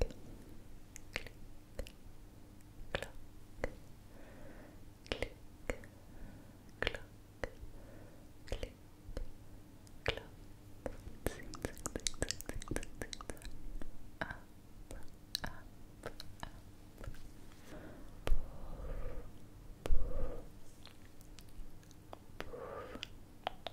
click, clock, click, clock, click, clock, zig, zig, zig, zig, zig, zig, zig, up, up, up, pull, pull, pull. Pull, pull,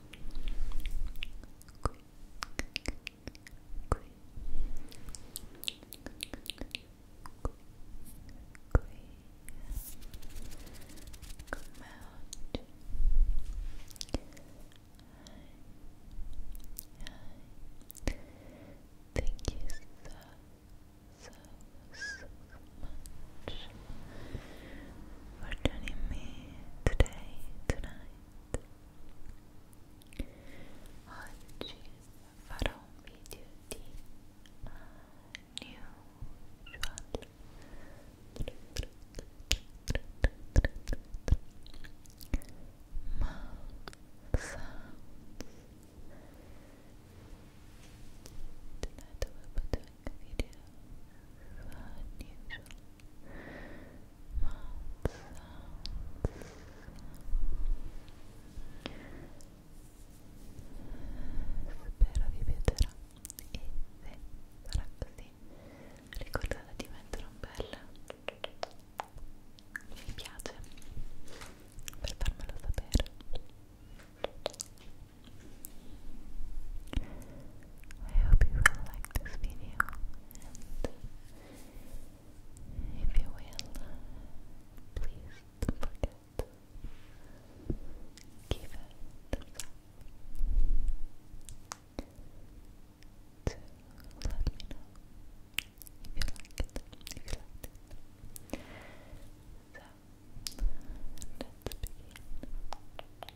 Come out. Hi. Hi. Thank you so, so, so much for joining me today, tonight. Oggi farò un video di unusual mouth sounds. Tonight we put video unusual mouth sounds spero vi piacerà e se sarà così ricordate di mettere un bel mi piace per farmelo sapere I hope you will like this video and if you will, please don't forget give it a thumbs up to let me know if you like it, if you liked it so, let's begin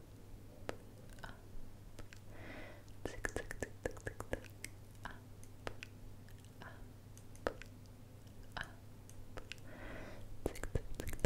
up. Tic, tic, tic, tic, tic, Tic, tic, tic,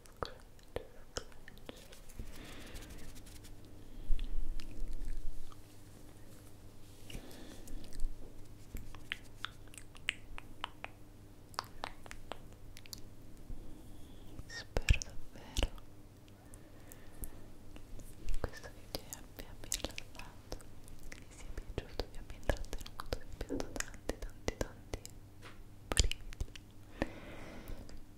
Spero davvero che questo video vi abbia rilassato, che vi sia piaciuto, vi abbia intrattenuto, vi abbia dato tanti tanti tanti brividi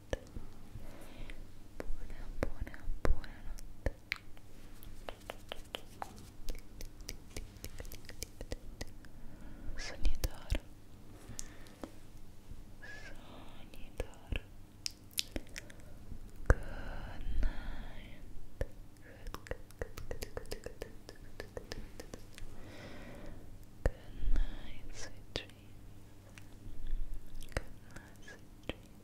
buona buona buonanotte sogni d'oro sogni d'oro good night good good good good good good good good good night sweet dreams good night sweet dreams